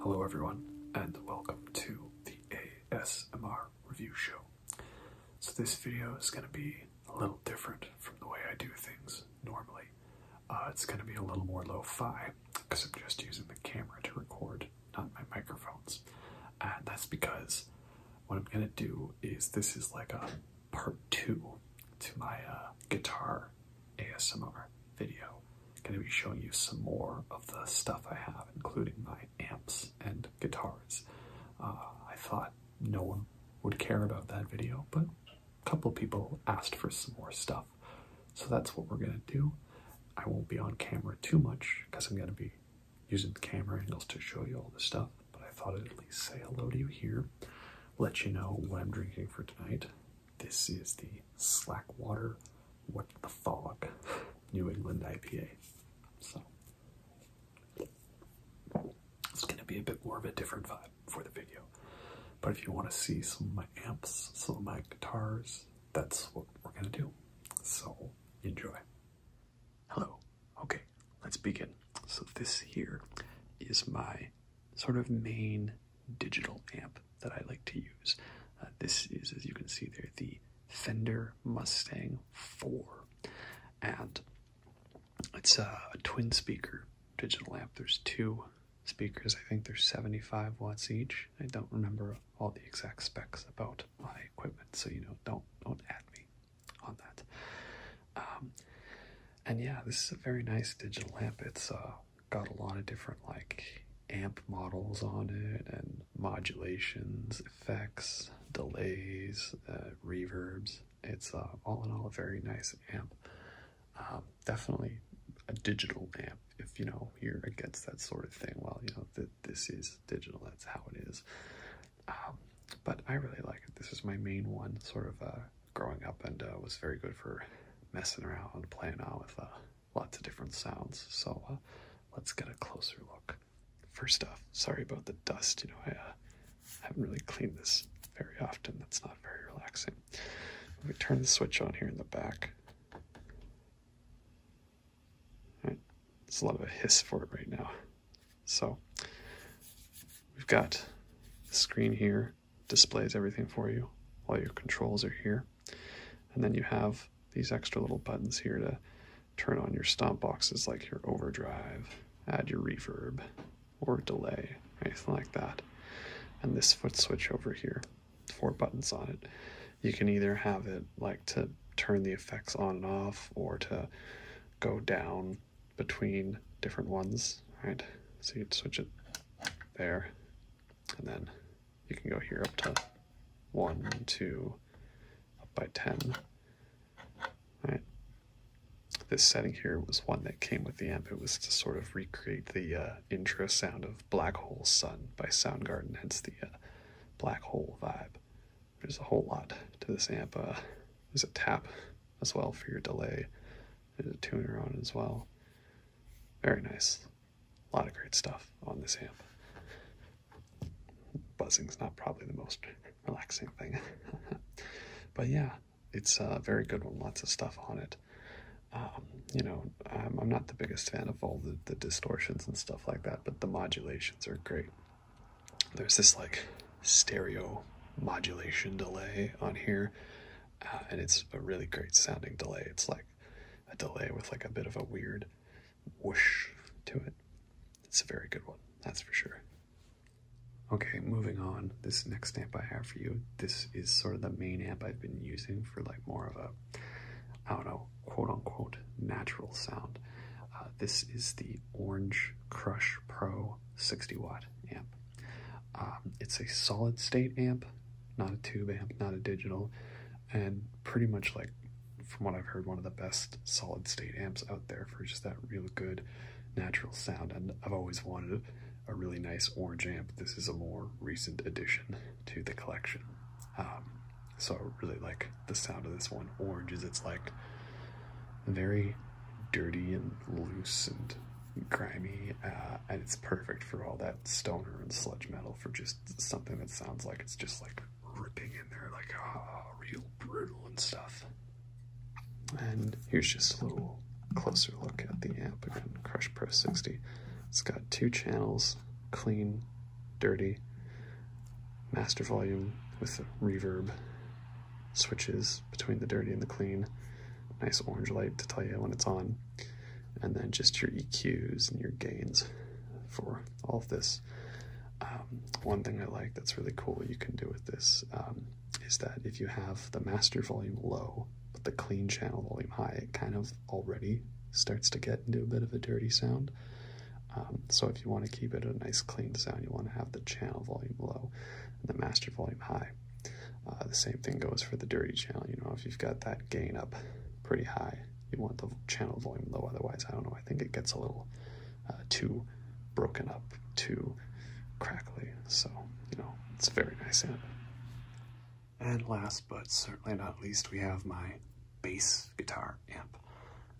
Hello, everyone, and welcome to the ASMR review show. So, this video is going to be a little different from the way I do things normally. Uh, it's going to be a little more lo fi because I'm just using the camera to record not my microphones. And that's because what I'm gonna do is this is like a part two to my uh, guitar ASMR video. gonna be showing you some more of the stuff I have, including my amps and guitars. Uh, I thought no one would care about that video, but a couple people asked for some more stuff. So that's what we're gonna do. I won't be on camera too much because I'm gonna be using the camera angles to show you all this stuff, but I thought I'd at least say hello to you here, let you know what I'm drinking for tonight. This is the Slack Water, What the Fog New England IPA. So it's going to be a bit more of a different vibe for the video. But if you want to see some of my amps, some of my guitars, that's what we're going to do. So enjoy. Hello. Okay, let's begin. So this here is my sort of main digital amp that I like to use. Uh, this is, as you can see there, the Fender Mustang 4. And it's a, a twin speaker digital amp. There's two speakers. I think they're 75 watts each. I don't remember all the exact specs about my equipment, so you know, don't don't at me on that. Um, and yeah, this is a very nice digital amp. It's uh, got a lot of different like amp models on it, and modulations, effects, delays, uh, reverbs. It's uh, all in all a very nice amp. Um, definitely a digital amp if you know you're against that sort of thing. Well, you know that this is digital, that's how it is. Um, but I really like it. This is my main one, sort of uh, growing up, and uh, was very good for messing around, and playing around with uh, lots of different sounds. So let's get a closer look. First off, sorry about the dust. You know, I haven't really cleaned this very often. That's not very relaxing. Let me turn the switch on here in the back. There's a lot of a hiss for it right now. So we've got the screen here, displays everything for you. All your controls are here. And then you have these extra little buttons here to turn on your stomp boxes like your overdrive, add your reverb, or delay, anything like that. And this foot switch over here, four buttons on it. You can either have it like to turn the effects on and off or to go down between different ones, right? So you'd switch it there, and then you can go here up to one, two, up by 10, right? This setting here was one that came with the amp. It was to sort of recreate the uh, intro sound of Black Hole Sun by Soundgarden, hence the uh, black hole vibe. There's a whole lot to this amp. Uh, there's a tap as well for your delay. There's a tuner on as well. Very nice. A lot of great stuff on this amp. Buzzing's not probably the most relaxing thing. but yeah, it's a very good one. Lots of stuff on it. Um, you know, I'm not the biggest fan of all the, distortions and stuff like that, but the modulations are great. There's this like stereo modulation delay on here, uh, and it's a really great sounding delay. It's like a delay with like a bit of a weird whoosh to it. It's a very good one, that's for sure. Okay, moving on. This next amp I have for you, this is sort of the main amp I've been using for like more of a I don't know, quote unquote natural sound. Uh, this is the Orange Crush Pro 60 watt amp. Um, it's a solid state amp, not a tube amp, not a digital, and pretty much like from what I've heard, one of the best solid state amps out there for just that real good natural sound. And I've always wanted a really nice orange amp. This is a more recent addition to the collection. Um, so I really like the sound of this one. Orange is it's like very dirty and loose and grimy, uh, and it's perfect for all that stoner and sludge metal for just something that sounds like it's just like ripping in there, like ah, real brutal and stuff. And here's just a little closer look at the amp again, Crush Pro 60. It's got two channels, clean dirty master volume with reverb switches between the dirty and the clean. Nice orange light to tell you when it's on. And then just your EQs and your gains for all of this. Um, one thing I like that's really cool you can do with this um, is that if you have the master volume low, but the clean channel volume high, it kind of already starts to get into a bit of a dirty sound. Um, so if you want to keep it a nice clean sound, you want to have the channel volume low and the master volume high. Uh, the same thing goes for the dirty channel. You know, if you've got that gain up pretty high, you want the channel volume low. Otherwise, I don't know, I think it gets a little uh, too broken up, too crackly. So, you know, it's a very nice amp. And last but certainly not least, we have my bass guitar amp.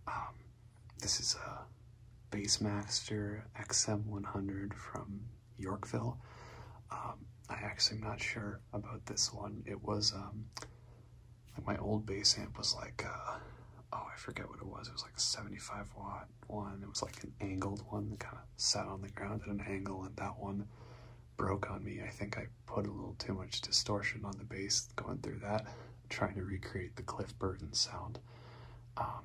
Um, this is a Bassmaster XM100 from Yorkville. Um, I actually am not sure about this one. It was, um, my old bass amp was like, uh, oh, I forget what it was. It was like a 75 watt one. It was like an angled one that kind of sat on the ground at an angle, and that one broke on me. I think I put a little too much distortion on the bass going through that, trying to recreate the Cliff Burton sound. Um,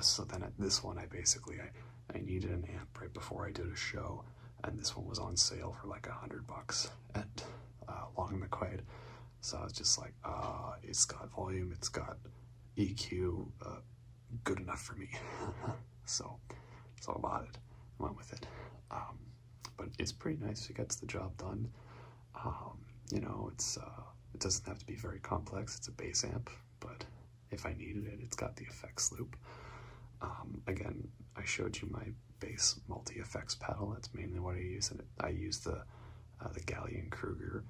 so then at this one, I basically, I, I needed an amp right before I did a show, and this one was on sale for like a hundred bucks at uh, Long McQuaid. So I was just like, uh, it's got volume, it's got EQ, uh, good enough for me. so, so I bought it, went with it. Um, but it's pretty nice. It gets the job done. Um, you know, it's uh, it doesn't have to be very complex. It's a bass amp, but if I needed it, it's got the effects loop. Um, again, I showed you my bass multi-effects pedal. That's mainly what I use. And I use the uh, the Galleon Kruger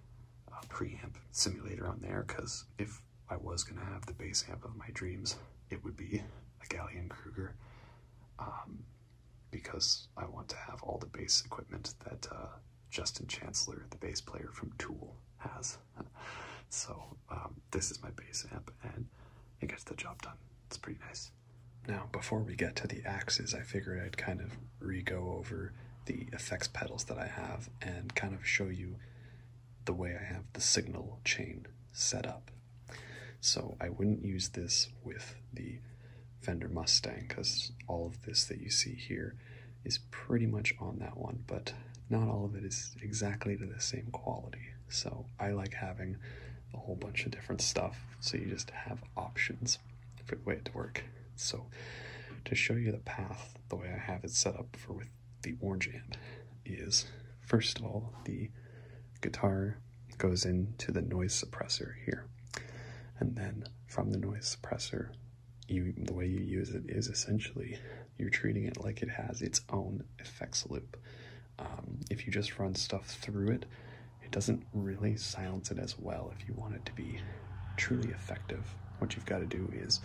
uh, preamp simulator on there because if I was gonna have the bass amp of my dreams, it would be a Galleon Kruger um, because I want to have all the bass equipment that uh, Justin Chancellor, the bass player from Tool, has. so um, this is my bass amp and it gets the job done. It's pretty nice. Now, before we get to the axes, I figured I'd kind of re-go over the effects pedals that I have and kind of show you the way I have the signal chain set up. So I wouldn't use this with the Fender Mustang because all of this that you see here is pretty much on that one, but not all of it is exactly to the same quality. So I like having a whole bunch of different stuff so you just have options for the way it to work. So to show you the path, the way I have it set up for with the orange amp is first of all the guitar goes into the noise suppressor here. And then from the noise suppressor, you, the way you use it is essentially you're treating it like it has its own effects loop. Um, if you just run stuff through it, it doesn't really silence it as well. If you want it to be truly effective, what you've got to do is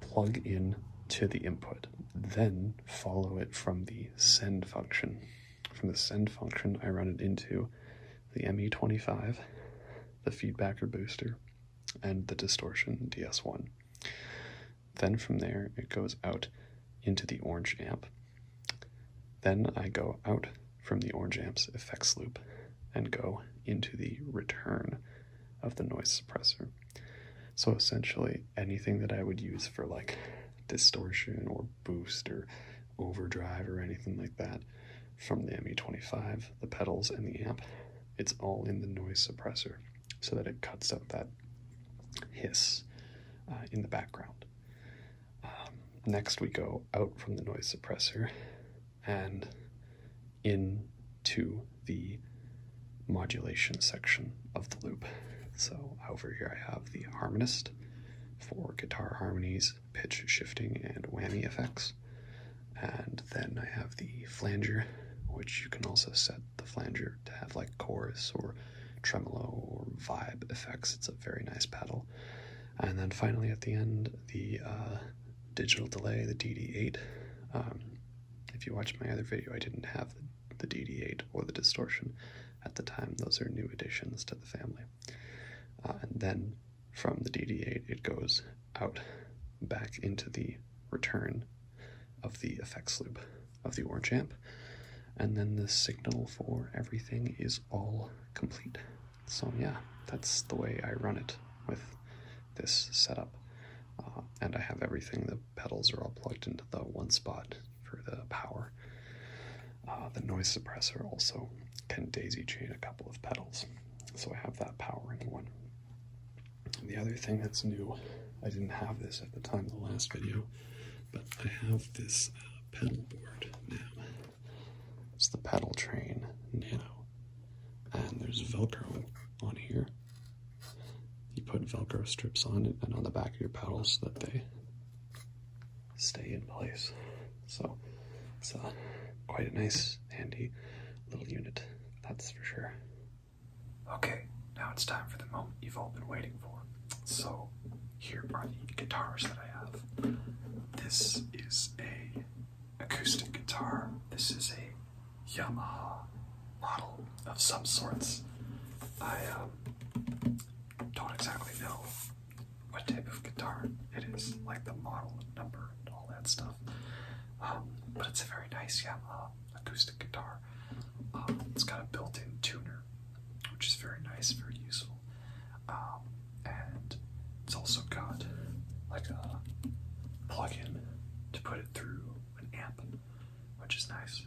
plug in to the input then follow it from the send function. From the send function, I run it into the ME25, the feedbacker booster, and the distortion DS1. Then from there, it goes out into the orange amp. Then I go out from the orange amp's effects loop and go into the return of the noise suppressor. So essentially, anything that I would use for like distortion or boost or overdrive or anything like that from the ME25, the pedals, and the amp, it's all in the noise suppressor so that it cuts up that hiss uh, in the background. Um, next, we go out from the noise suppressor and in to the modulation section of the loop. So over here I have the harmonist for guitar harmonies, pitch shifting, and whammy effects. And then I have the flanger, which you can also set the flanger to have like chorus or tremolo or vibe effects. It's a very nice pedal. And then finally at the end, the uh, digital delay, the DD8. Um, if you watch my other video, I didn't have the DD8 or the distortion. At the time, those are new additions to the family. Uh, and then from the DD8, it goes out back into the return of the effects loop of the orange amp. And then the signal for everything is all complete. So, yeah, that's the way I run it with this setup. Uh, and I have everything. The pedals are all plugged into the one spot for the power. Uh, the noise suppressor also can daisy chain a couple of pedals, so I have that powering one. the other thing that's new, I didn't have this at the time of the last video, but I have this uh, pedal board now. It's the pedal train nano, and there's Velcro on here, you put Velcro strips on it and on the back of your pedals so that they stay in place. So it's a uh, quite a nice, handy little unit, that's for sure. Okay, now it's time for the moment you've all been waiting for. So here are the guitars that I have. This is a acoustic guitar. This is a Yamaha model of some sorts. I um, don't exactly know what type of guitar it is, like the model number and all that stuff. Um, but it's a very nice Yamaha acoustic guitar. Um, it's got a built-in tuner, which is very nice, very useful. and it's also got like a plug-in to put it through an amp, which is nice.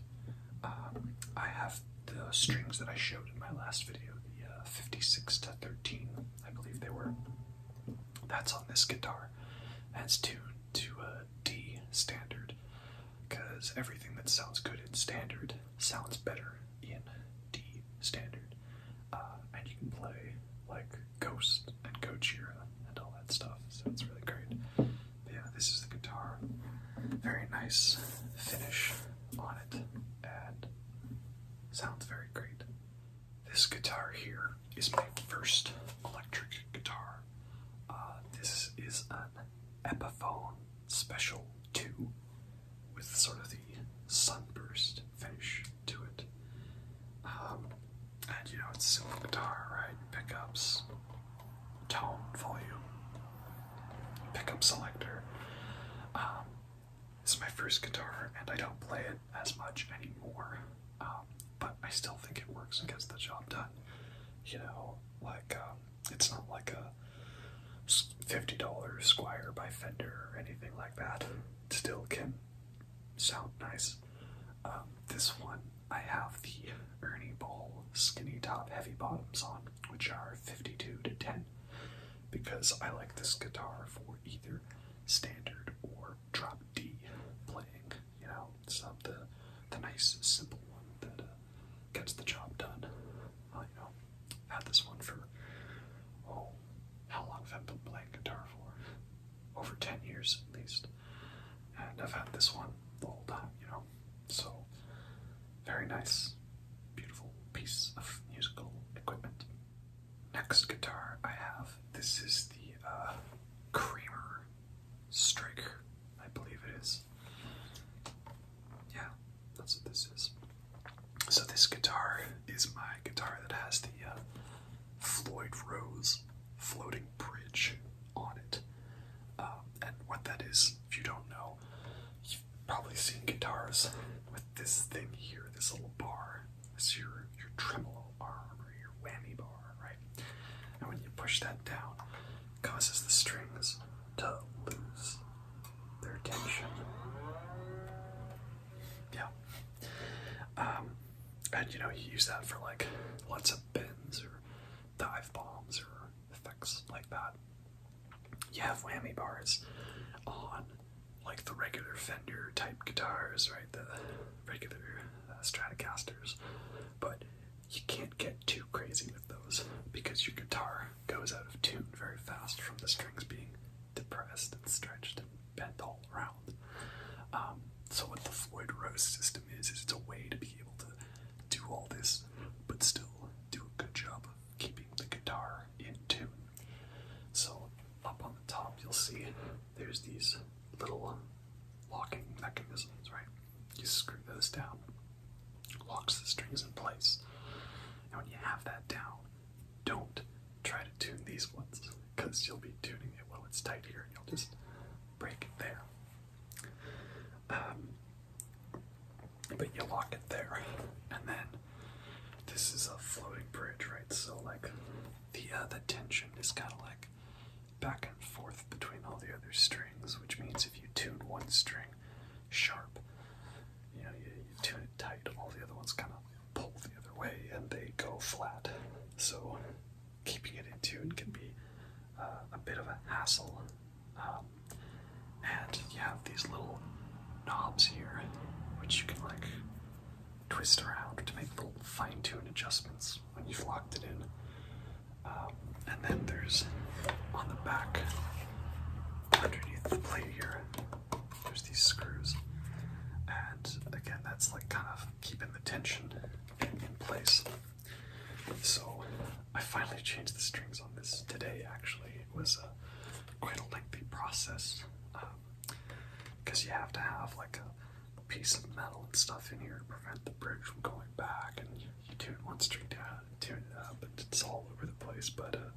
Uh, I have the strings that I showed in my last video, the uh, 56 to 13, I believe they were. That's on this guitar, and tuned to a D standard, because everything that sounds good in standard sounds better in D standard. Uh, and you can play like Ghost and Gojira and all that stuff, so it's really great yeah, this is the guitar. Very nice finish on it, and sounds very great. This guitar here is my first electric guitar. Uh, this is an Epiphone Special 2 with sort of the sunburst finish to it. Um, and you know, it's a simple guitar, right? Pickups, tone, volume, pickup selector. Um, this is my first guitar, and I don't play it as much anymore, um, but I still think it works and gets the job done. You know, like, um, it's not like a $50 Squire by Fender or anything like that. It still can sound nice. Um, this one, I have the Ernie Ball skinny top heavy bottoms on, which are 52 to 10, because I like this guitar for either standard or drop D playing. You know, it's not the, the nice, simple one that uh, gets the job done. Uh, know, I've had this one for, oh, how long have I been playing guitar for? over 10 years at least. And I've had this one the whole time, you know. So, very nice, beautiful piece of musical equipment. Next guitar I have, this is the uh, Creamer Striker, I believe it is. Yeah, that's what this is. So this guitar is my guitar that has the uh, Floyd Rose floating bridge on it. Um, and what that is, if you don't know, you've probably seen guitars with this thing here, this little bar. It's your, your tremolo arm or your whammy bar, right? And when you push that down, it causes the strings to lose their tension. Yeah. Um, and you know, you use that for like lots of bends or dive bombs or effects like that. You have whammy bars on like the regular Fender type guitars, right? The regular uh, Stratocasters, but you can't get too crazy with those because your guitar goes out of tune very fast from the strings being depressed and stretched and bent all around. Um, so what the Floyd Rose system is is it's a way to be able to do all this, but still do a good job of keeping the guitar in tune. So up on the top you'll see there's these little um, locking mechanisms, right? You screw those down, locks the strings in place. And when you have that down, don't try to tune these ones because you'll be tuning it while it's tight here and you'll just break it there. Um, but you lock it there, and then this is a floating bridge, right? So like the uh, the tension is kind of like back and forth between all the other strings, which means if you tune one string sharp, you know you tune it tight, all the other ones kind of pull the other way, and they go flat. So keeping it in tune can be uh, a bit of a hassle. Um, and you have these little knobs here, which you can like twist around to make little fine-tuned adjustments when you've locked it in. Um, and then there's on the back, underneath the plate here, there's these screws. And again, that's like kind of keeping the tension in place. So I finally changed the strings on this today. Actually, it was a quite a lengthy process because um, you have to have like a piece of metal and stuff in here to prevent the bridge from going back, and you, tune one string down, tune it up, and it's all over the place. But uh,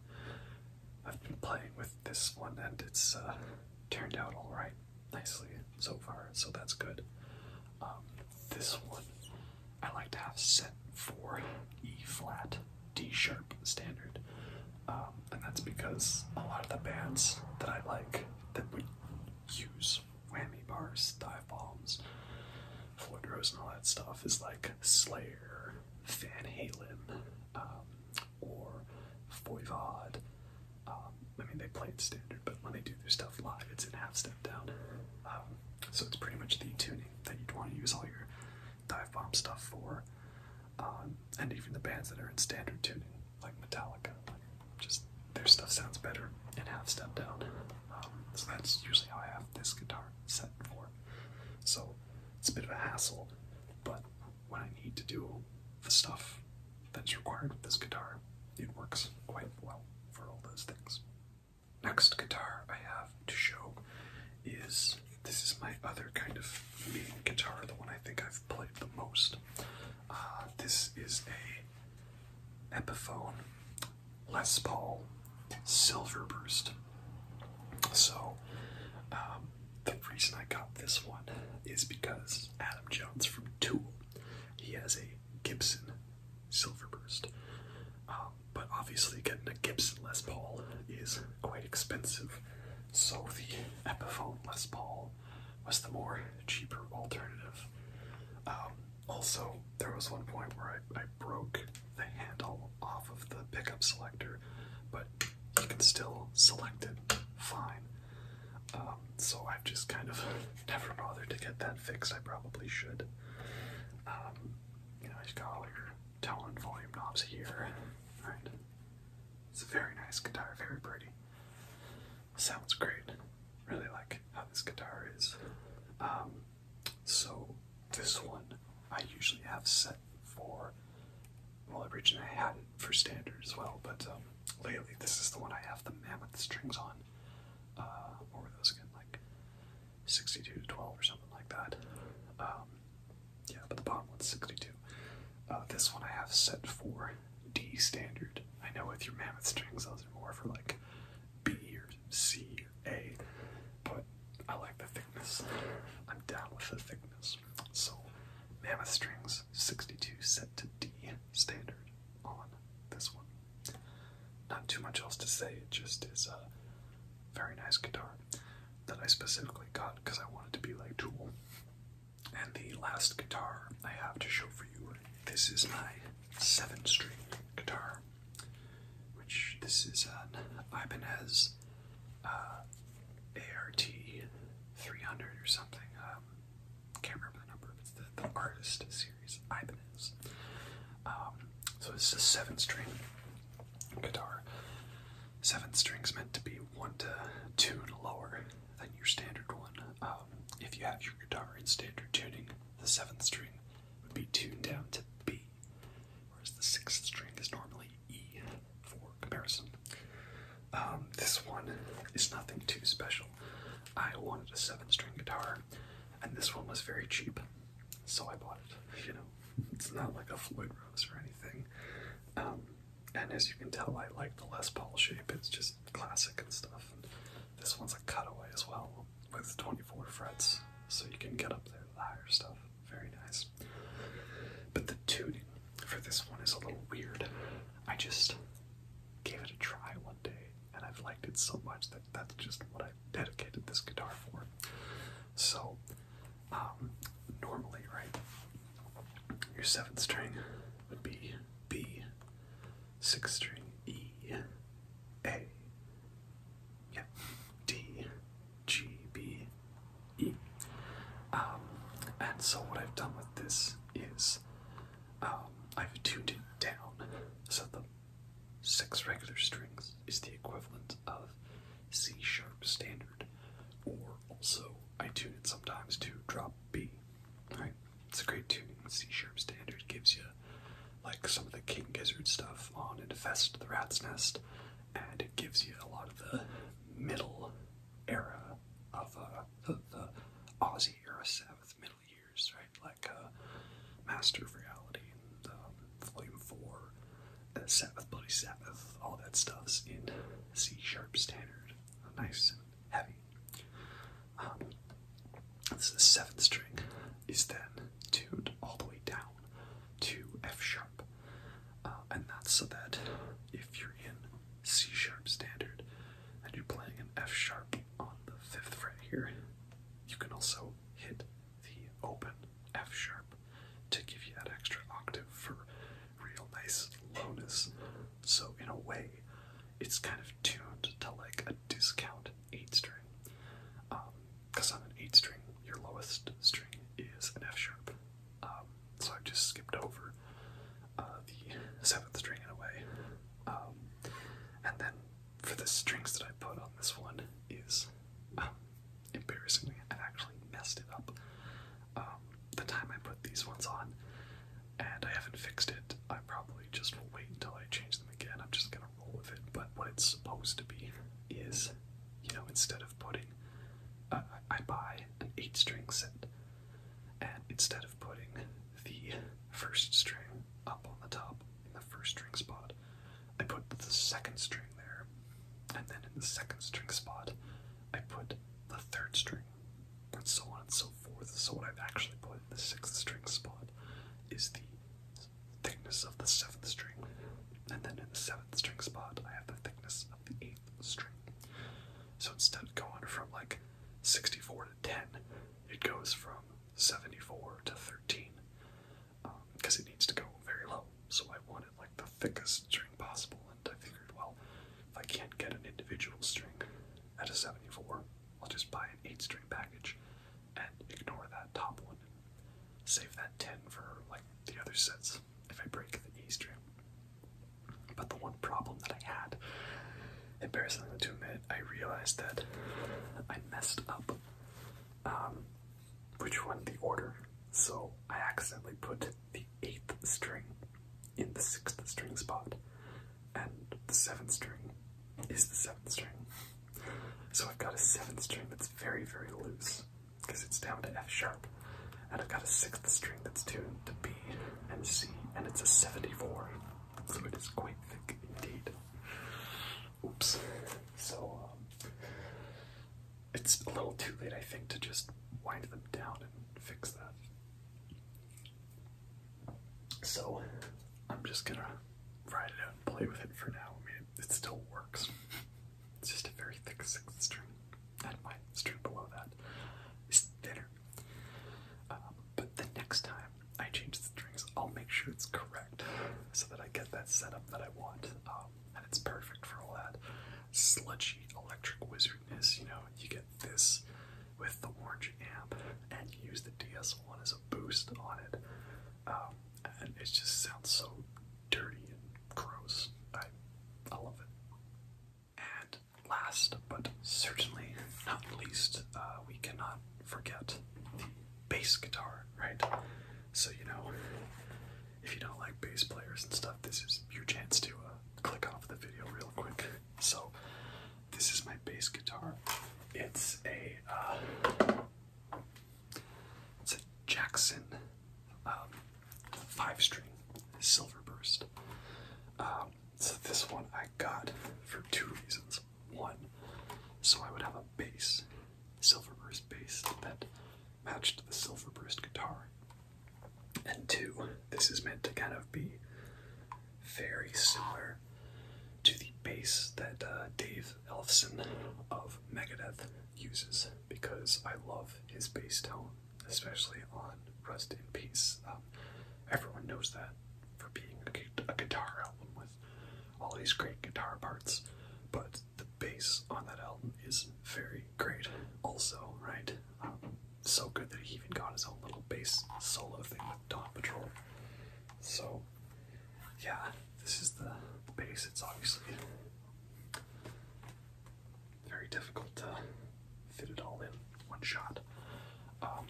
I've been playing with this one, and it's uh, turned out all right nicely so far, so that's good. Um, this one I like to have set for E flat, D sharp standard, um, and that's because a lot of the bands that I like that would use whammy bars, dive bombs, Floyd Rose, and all that stuff is like Slayer, Van Halen, um, or Voivod. Um, I mean, they play in standard, but when they do their stuff live, it's in half step down. Um, so it's pretty much the tuning that you'd want to use all your dive bomb stuff for. Um, and even the bands that are in standard tuning, like Metallica, just their stuff sounds better in half step down. so that's usually how I have this guitar set for. So it's a bit of a hassle, but when I need to do the stuff that's required with this guitar, it works quite well for all those things. Next guitar I have to show is this is my other kind of main guitar, the one I think I've played the most. Uh, this is a Epiphone Les Paul Silverburst. So um, the reason I got this one is because Adam Jones from Tool, he has a Gibson Silverburst. Um, but obviously, getting a Gibson Les Paul is quite expensive, so the Epiphone Les Paul was the more cheaper alternative. Um, also, there was one point where I, I broke the handle off of the pickup selector, but you can still select it fine. Um, so I've just kind of never bothered to get that fixed. I probably should. Um, you know, you've got all your tone and volume knobs here. Right? It's a very nice guitar, very pretty. Sounds great. Really like how this guitar is. Um, so this one I usually have set for well, originally I had it for standard as well, but um, lately this is the one I have the mammoth strings on. what uh, were those again? Like 62 to 12 or something like that. Um, yeah, but the bottom one's 62. Uh, this one I have set for D standard. I know with your mammoth strings, those are more for like B or C or A, but I like the thickness. I'm down with the thickness. So, mammoth strings 62 set to D standard on this one. Not too much else to say, it just is a very nice guitar that I specifically got because I wanted to be like Tool. And the last guitar I have to show for you, this is my seven string guitar, which this is an Ibanez uh, ART 300 or something, uh, um, can't remember the number, but it's the, the artist series, Ibanez. Um, so it's a seventh string guitar. Seven strings meant to be one to two lower than your standard one. Um, if you have your guitar in standard tuning, the seventh string would be tuned down to B, whereas the sixth string is normally E for comparison. Um, this one is nothing too special. I wanted a seven string guitar, and this one was very cheap, so I bought it. You know, it's not like a Floyd Rose or anything. Um, and as you can tell, I like the Les Paul shape, it's just classic and stuff. this one's a cutaway as well with 24 frets, so you can get up there to the higher stuff. Very nice. But the tuning for this one is a little weird. I just gave it a try one day and I've liked it so much that that's just what I dedicated this guitar for. So, um, normally, right, your seventh string would be B, sixth string E, A, yeah, D, G, B, E. Um, and so what I've done with this is um, I've tuned it down so the six regular strings is the equivalent of C sharp standard, or also I tune it sometimes to drop B. Right, it's a great tune. C sharp standard gives you like some of the King Gizzard stuff on Infest the Rat's Nest, and it gives you a lot of the middle era of uh, the, Ozzy era Sabbath middle years, right? Like uh, Master of Reality and um, Volume 4, uh, Sabbath, Bloody Sabbath, all that stuff's in C sharp standard. Nice and heavy. Um, this is the seventh string is then tuned all the way down to F sharp. Uh, and that's so that if you're in C sharp standard and you're playing an F sharp on the fifth fret here, you can also hit the open F sharp to give you that extra octave for real nice lowness. So, in a way, it's kind of tuned to like a discount 8 string. Because um, on an 8 string, your lowest string is an F sharp. Um, so I've just skipped over uh, the seventh string in a way. Um, and then for the strings that I put on this one is um, embarrassingly, I actually messed it up. Um, the time I put these ones on, and I haven't fixed it. I probably just will wait until I change them again. I'm just gonna roll with it. But what it's supposed to be is, you know, instead of putting I buy an eight string set, and instead of putting the first string up on the top in the first string spot, I put the second string there, and then in the second string spot, I put the third string, and so on and so forth. So, what I've actually put in the sixth string spot is the thickness of the seventh string, and then in the seventh string spot, I have the thickness of the eighth string. So instead of going from like 64 to 10, it goes from 74 to 13 because um, it needs to go very low. So I want it like the thickest string possible, and I figured, well, if I can't get an individual string at a 74, I'll just buy an 8 string package and ignore that top one. Save that 10 for like the other sets if I break the E string. But the one problem that I had, embarrassing to admit, I realized that I messed up um, which one the order. So I accidentally put the eighth string in the sixth string spot, and the seventh string is the seventh string. So I've got a seventh string that's very, very loose because it's down to F sharp. And I've got a sixth string that's tuned to B and C, and it's a 74, so it is quite thick indeed. Oops. So, um, it's a little too late, I think, to just wind them down and fix that. So, I'm just gonna write it out and play with it for now. I mean, it still works. It's just a very thick sixth string, and my string below that is thinner. Uh, but the next time I change the strings, I'll make sure it's correct so that I get that setup that I want, um, and it's perfect for all that sludgy electric wizardness. You know, you get this with the orange amp and use the DSL one as a boost on it, um, and it just sounds so dirty and gross. I, I love it. And last, but certainly not least, uh, we cannot forget the bass guitar, right? So, you know, if you don't like bass players and stuff, this is your chance to uh, click off the video real quick. So, this is my bass guitar. It's a, uh, it's a Jackson um, five string silver um, so this one I got for two reasons. One, so I would have a bass, Silverburst burst bass that matched the Silverburst guitar. And two, this is meant to kind of be very similar to the bass that uh, Dave Elfson of Megadeth uses because I love his bass tone, especially on Rest in Peace. Um, everyone knows that for being a, guitar album with all these great guitar parts, but the bass on that album is very great, also, right? Um, so good that he even got his own little bass solo thing with *Don't Patrol. So, yeah, this is the bass. It's obviously very difficult to fit it all in one shot. Um,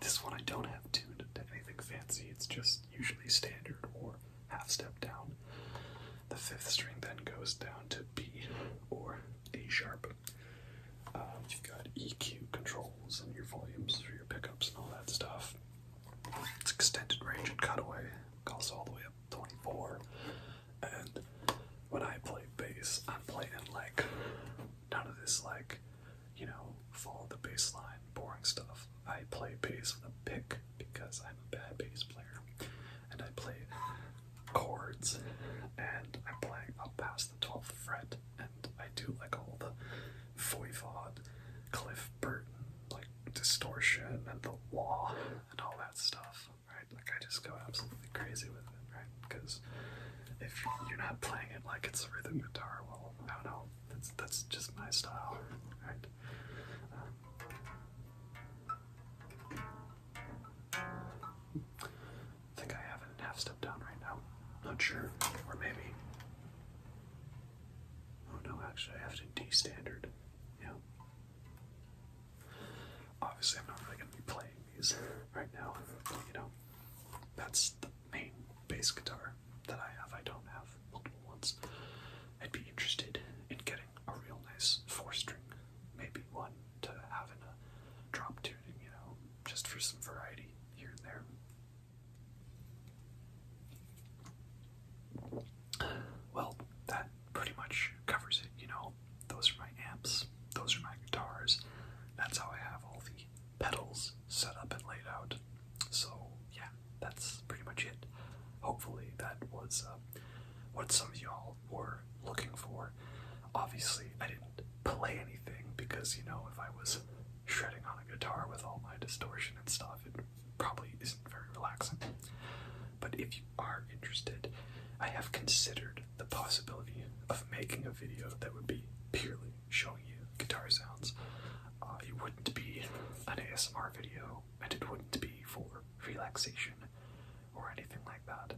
this one I don't have tuned to anything fancy, it's just usually standard or half step down. The fifth string then goes down to B or D sharp. Um, you've got EQ controls and your volumes for your pickups and all that stuff. It's extended range and cutaway, goes all the way up. 24, and when I play bass, I'm playing like none of this like you know follow the bass line boring stuff. I play bass with a pick because I'm a bad bass player, and I play chords, and I'm playing up past the 12th fret, and I do like all the voivod, Cliff Burton like distortion and the wah and all that stuff, right? Like I just go absolutely crazy with it, right? Because if you're not playing it like it's a rhythm guitar, well, I don't know. That's that's just my style, right? Um, think I have it in half step down right now. Not sure, or maybe. Oh no, actually, I have it D standard. Yeah, Obviously, I'm not really going to be playing these right now. You know, that's the main bass guitar that I have. I don't have multiple ones. I'd be interested in getting a real nice four string, maybe one to have in a drop tuning, you know, just for some variety here and there. Well, that pretty much covers it, you know. Those are my amps, those are my guitars. That's how I have all the pedals set up and laid out. So, yeah, that's pretty much it. Hopefully, that was uh, what some of y'all were looking for. Obviously, I didn't play anything because, you know, if I was shredding on a guitar with all my distortion and stuff, it probably isn't very relaxing. But if you are interested, I have considered the possibility of making a video that would be purely showing you guitar sounds. Uh, it wouldn't be an ASMR video, and it wouldn't be for relaxation or anything like that.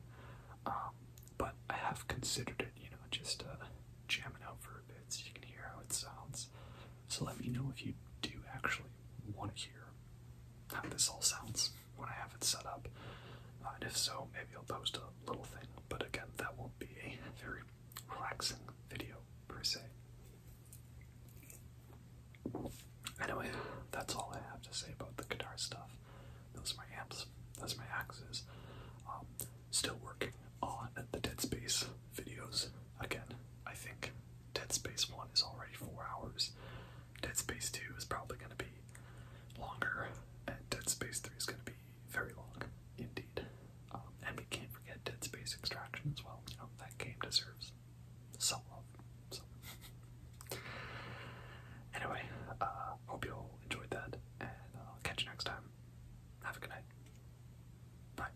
Um, but I have considered it, you know, just uh, jamming out for a bit so you can hear how it sounds. So let me know if you do actually want to hear how this all sounds when I have it set up. Uh, and if so, maybe I'll post a little thing, but again, that will be a very relaxing video per se. Anyway, that's all I have to say about the guitar stuff. Those are my amps, those are my axes. Um, still working on the Dead Space videos. Again, I think Dead Space 1 is already four hours. Dead Space 2 is probably going to be longer, and Dead Space 3 is going to be very long indeed. Um, and we can't forget Dead Space Extraction as well. You know, that game deserves some love. So. anyway, uh, hope you all enjoyed that, and I'll uh, catch you next time. Have a good night. Bye.